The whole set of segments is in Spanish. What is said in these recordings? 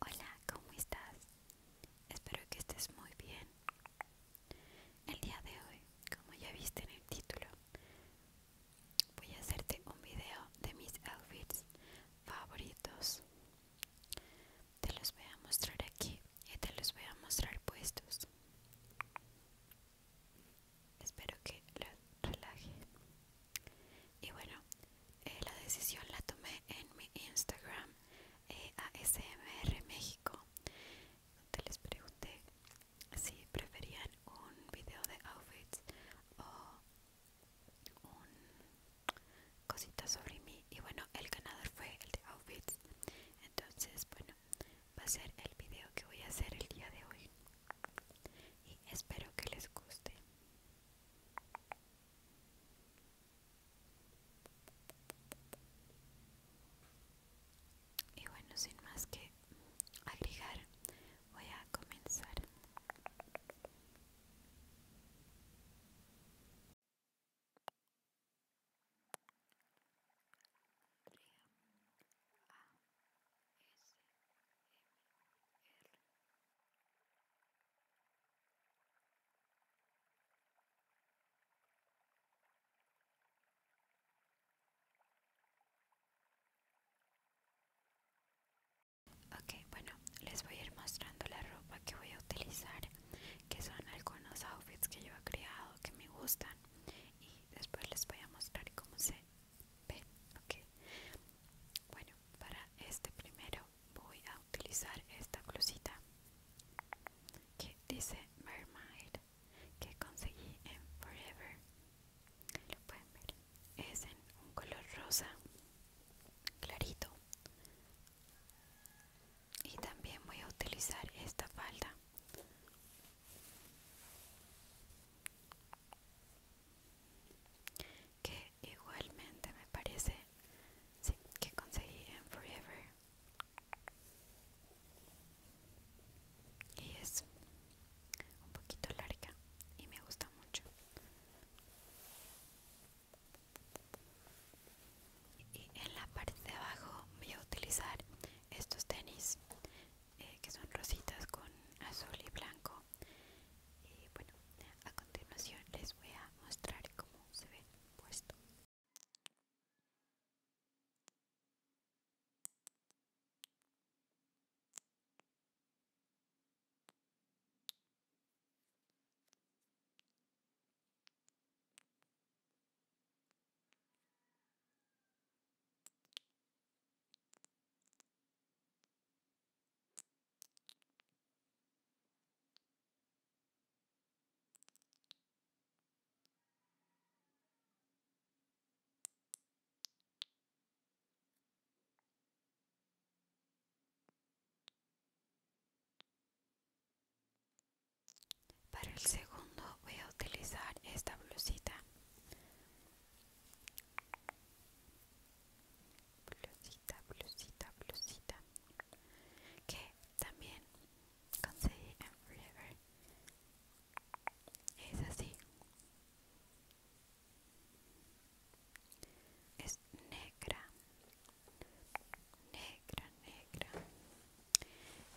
Hola, ¿cómo estás? Espero que estés muy bien. El día de hoy, como ya viste en el título, voy a hacerte un video de mis outfits favoritos. Te los voy a mostrar aquí y te los voy a mostrar puestos. Espero que los relaje. Y bueno, eh, la decisión la tomé en mi Instagram eh, ASMR México, donde les pregunté si preferían un video de outfits o un cosita sobre mí. Y bueno, el ganador fue el de outfits. Entonces, bueno, va a ser el video que voy a hacer el día de hoy. Y espero que les guste. Y bueno, sin más que agregar, voy a comenzar. Ok, bueno, les voy a ir mostrando la ropa que voy a utilizar, que son algunos outfits que yo he creado que me gustan y después les voy a mostrar cómo se bueno, para este primero voy a utilizar esta blusita que dice Mermaid que conseguí en Forever. Lo pueden ver. Es en un color rosa clarito. Y también voy a utilizar esta falda que igualmente me parece que conseguí en Forever y es un poquito larga y me gusta mucho y en la parte de abajo voy a utilizar estos tenis eh, que son rositas con azul y blanco y eh, bueno a continuación les voy a mostrar cómo se ve puesto para el segundo voy a utilizar esta blusita blusita, blusita, blusita que también conseguí en Forever es así es negra negra negra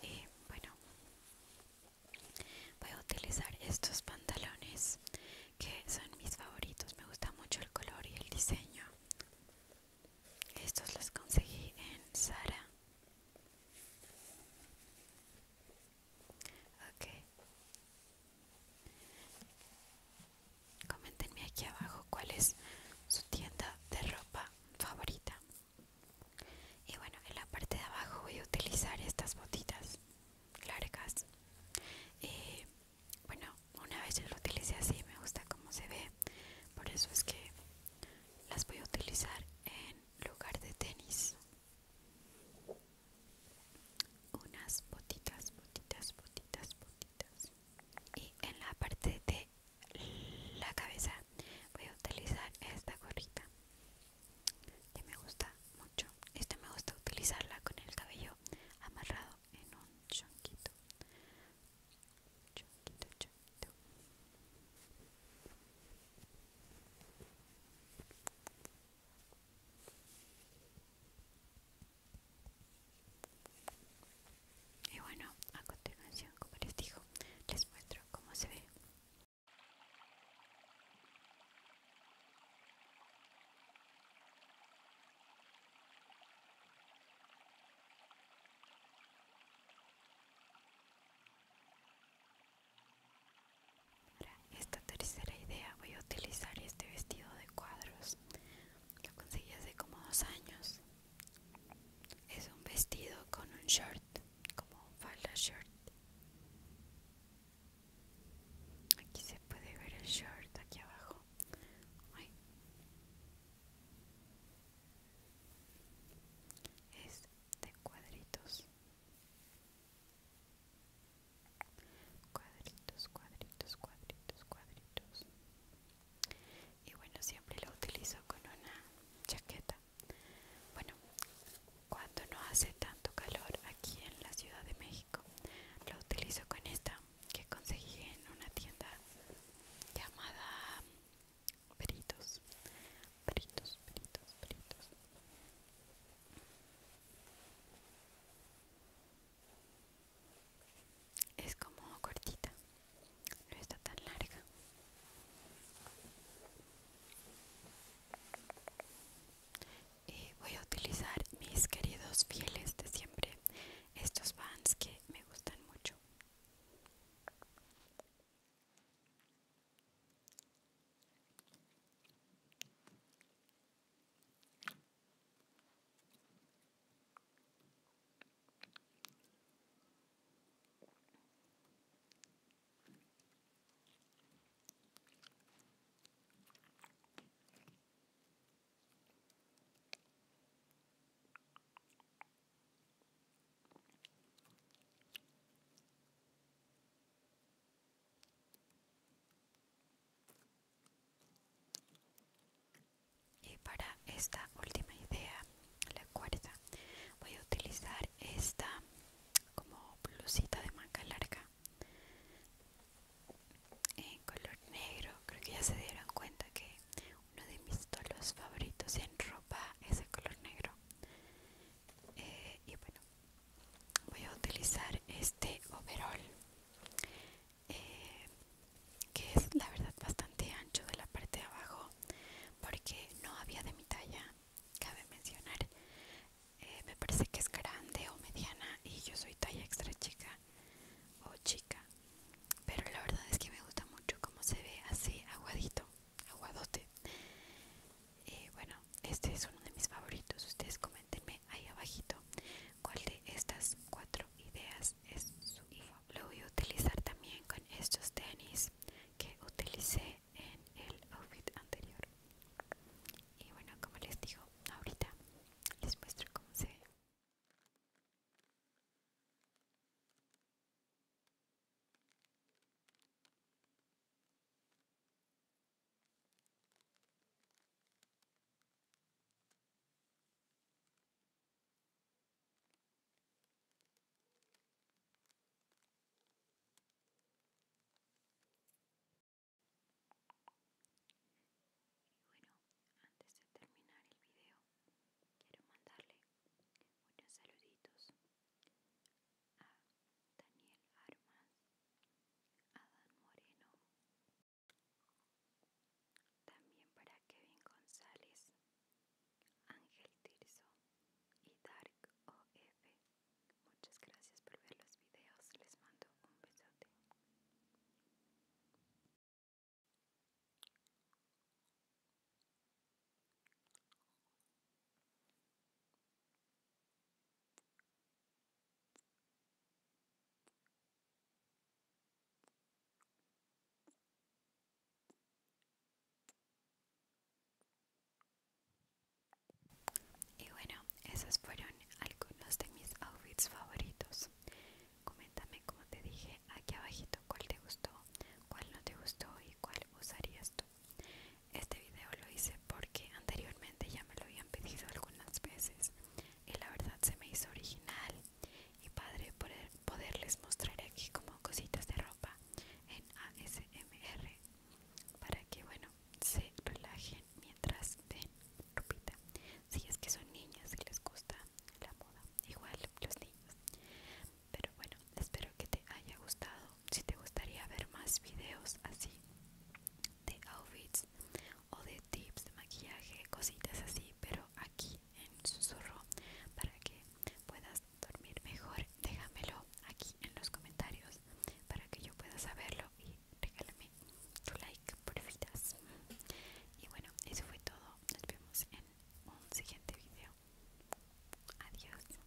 y bueno Voy a utilizar estos pantalones que son mis favoritos. Me gusta mucho el color y el diseño. Estos los conseguí en Sara. Ok. Coméntenme aquí abajo cuál es su tienda de ropa favorita. Y bueno, en la parte de abajo voy a utilizar estas botitas largas Y eh, bueno una vez yo lo utilicé así me gusta cómo se ve por eso es que las voy a utilizar en lugar de tenis unas botitas botitas botitas botitas y en la parte de la cabeza voy a utilizar esta gorrita que me gusta mucho. Este me gusta utilizarla con el cabello amarrado en un chonquito. Chonquito, chonquito. Y bueno, a continuación, como les digo, les muestro cómo se ve para esta tercera idea voy a utilizar este vestido de cuadros. Lo conseguí hace como dos años. Es un vestido con un short, como un falda short. Aquí se puede ver el short aquí abajo. Es de cuadritos. Cuadritos, cuadritos, cuadritos, cuadritos. Y bueno, siempre lo utilizo con una chaqueta. Bueno, cuando no hace tanto calor aquí en la Ciudad de México, lo utilizo con esta que conseguí en una tienda llamada Peritos. Peritos, Peritos, Peritos. Es como cortita, no está tan larga. Y eh, voy a utilizar mis queridos fieles de siempre, estos Vans que me gustan mucho. Y para esta última idea, la cuarta, voy a utilizar esta como blusita de manga larga en color negro creo que ya se dieron cuenta que uno de mis tolos favoritos en ropa es el color negro eh, y bueno voy a utilizar este overall eh, que es la verdad bastante ancho de la parte de abajo porque no había de mi talla cabe mencionar. Eh, me parece que es grande o mediana y yo soy talla extra chica o chica. Pero la verdad es que me gusta mucho cómo se ve así, aguadito, aguadote. Y bueno, este es uno de mis favoritos. Ustedes comentenme ahí abajito cuál de estas cuatro ideas es su hijo. Lo voy a utilizar también con estos tenis que utilicé en el outfit anterior y bueno como les digo ahorita les muestro cómo se ve y bueno, antes de terminar el video, quiero mandarle unos saluditos a Daniel Armas, Dan Moreno, también para Kevin González, Ángel Tirso y Dark OF. Muchas gracias por ver los videos. Les mando un besote. Y bueno, esos fueron algunos de mis outfits favoritos. Coméntame como te dije aquí abajito cuál te gustó, cuál no te gustó y cuál usarías tú. Este video lo hice porque anteriormente ya me lo habían pedido algunas veces y la verdad se me hizo original y padre poderles mostrar aquí como cositas de ropa ASMR para que bueno se relajen mientras ven Lupita si es que son niñas y les gusta la moda igual los niños pero bueno espero que te haya gustado si te gustaría ver más videos así de outfits o de tips de maquillaje cositas así pero aquí en susurro para que puedas dormir mejor. Déjamelo aquí en los comentarios para que yo pueda saberlo y regálame tu like, porfitas. Y bueno, eso fue todo. Nos vemos en un siguiente video. Adiós.